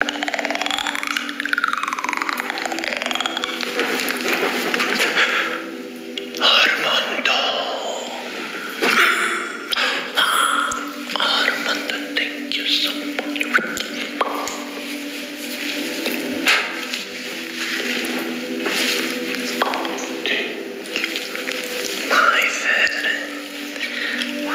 thank you so much. My friend. Stefani. Oh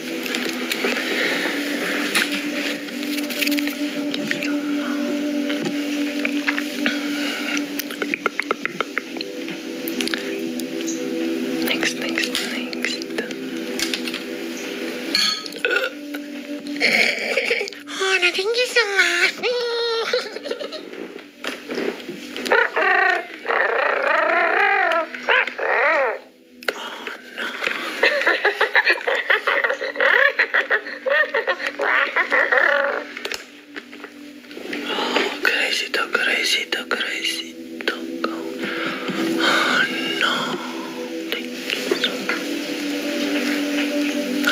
Next, next, next. Hana, oh, thank you so much. Oh, crazyto, crazyto, crazyto. Oh no. Thank you so much. Oh,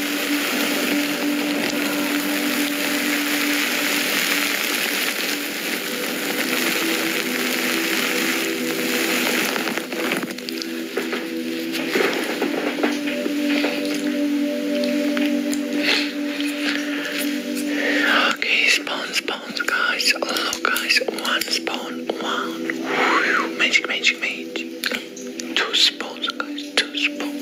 Okay, spawn, spawns, guys. Look, guys, one spawn, one. Whew, magic, magic, magic. Two spoons, guys. Two spoons.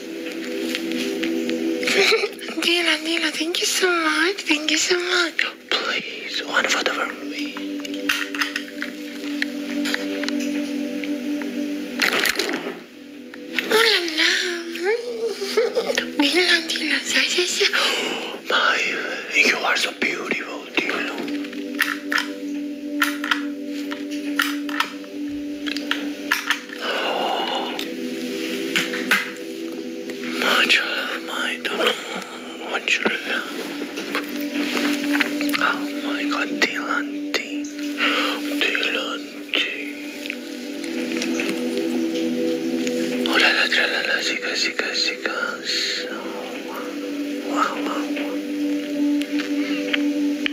Dina, Dina, thank you so much. Thank you so much. Please, one photo for me. Oh la say, say, My, you are so beautiful, Dina. Oh, my child, my darling, what you're Oh my God, Dylan, Dylan, Oh la la, tra la la, chicas, chicas, chicas. Oh, wow, wow,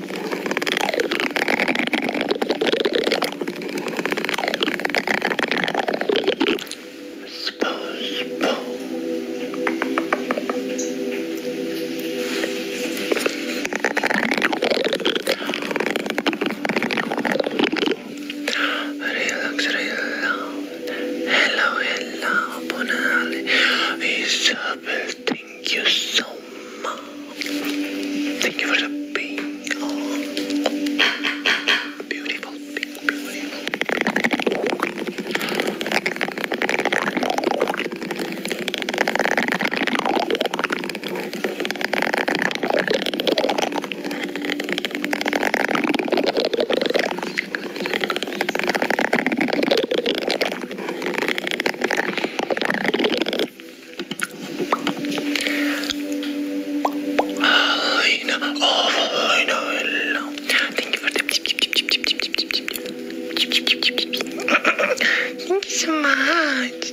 Relax, relax. Hello, hello, ponale. Isabel Thank you so much. Thank you for the pink. Beautiful pink, I know. Oh, I know. Hello. Thank you for the Thank you so much.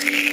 Stephanie.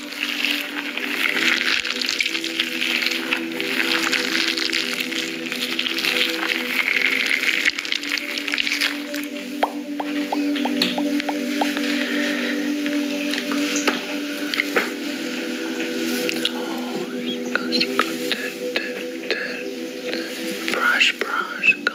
Brush, brush, go.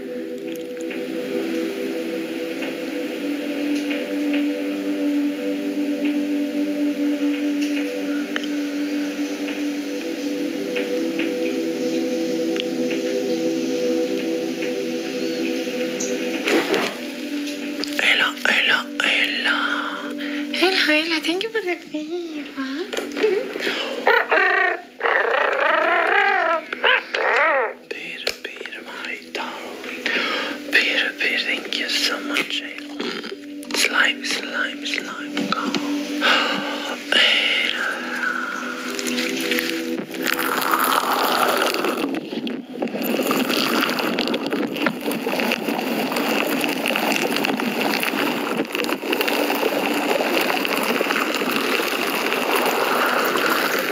Hello, hello, hello. Hello, hello. Thank you for the feedback. Peter, Peter, my darling. Peter, Peter, thank you so much. Eh? Slime, slime, slime, go.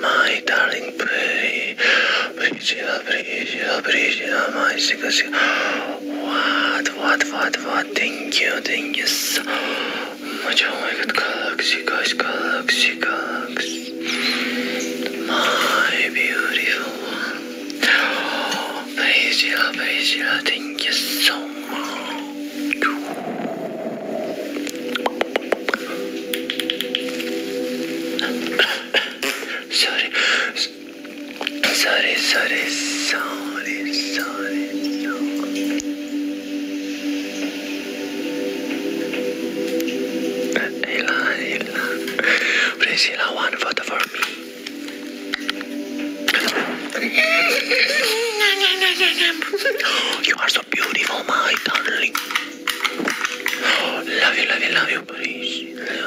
my darling pretty Brigida, Brigida, Brigida, my sickle, What, what, what, what? Thank you, thank you so much I like it, galaxy, guys, galaxy, galaxy. My beautiful one. Oh, Priscilla, Priscilla, thank you so much. sorry, sorry, sorry, sorry, sorry, sorry. Elan, Elan. Priscilla, one photo for me. you are so beautiful, my darling. Love you, love you, love you, Priscilla.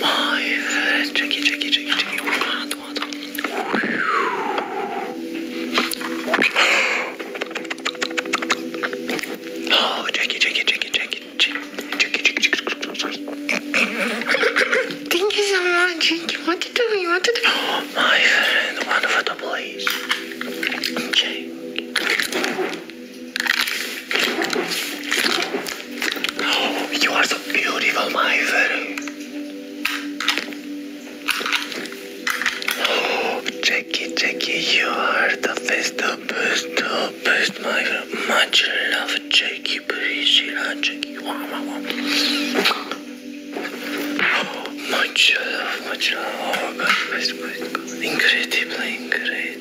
my, tricky, tricky, tricky, tricky. Hold on, hold on. Oh, tricky, tricky, tricky, tricky, tricky, tricky, tricky. Thank you so much. What to do? What to do? my friend, wonderful place. Okay you are so beautiful, my friend. Jackie, Jackie, you are the best, the best, the best, my friend. Much love, Jackie, Priscilla, Jackie. Wow, wow, wow. much love, much love. Oh, God, best, best, God. Incredibly, incredible.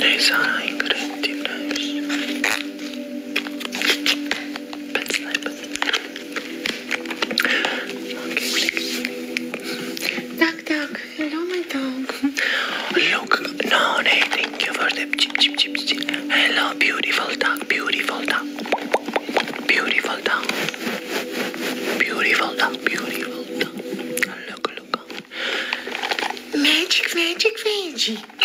These are ingredients. Pencil Okay, click. Hello, my dog. Look, no, hey, you for the chip, chip, chip, chip. Hello, beautiful dog, beautiful dog. Beautiful dog. Beautiful dog, beautiful dog. Look, look. Magic, magic, magic.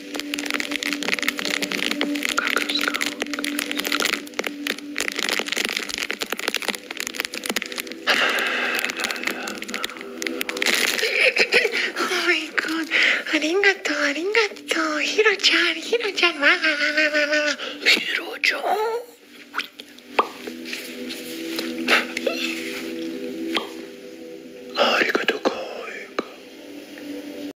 ありがとう、かいか。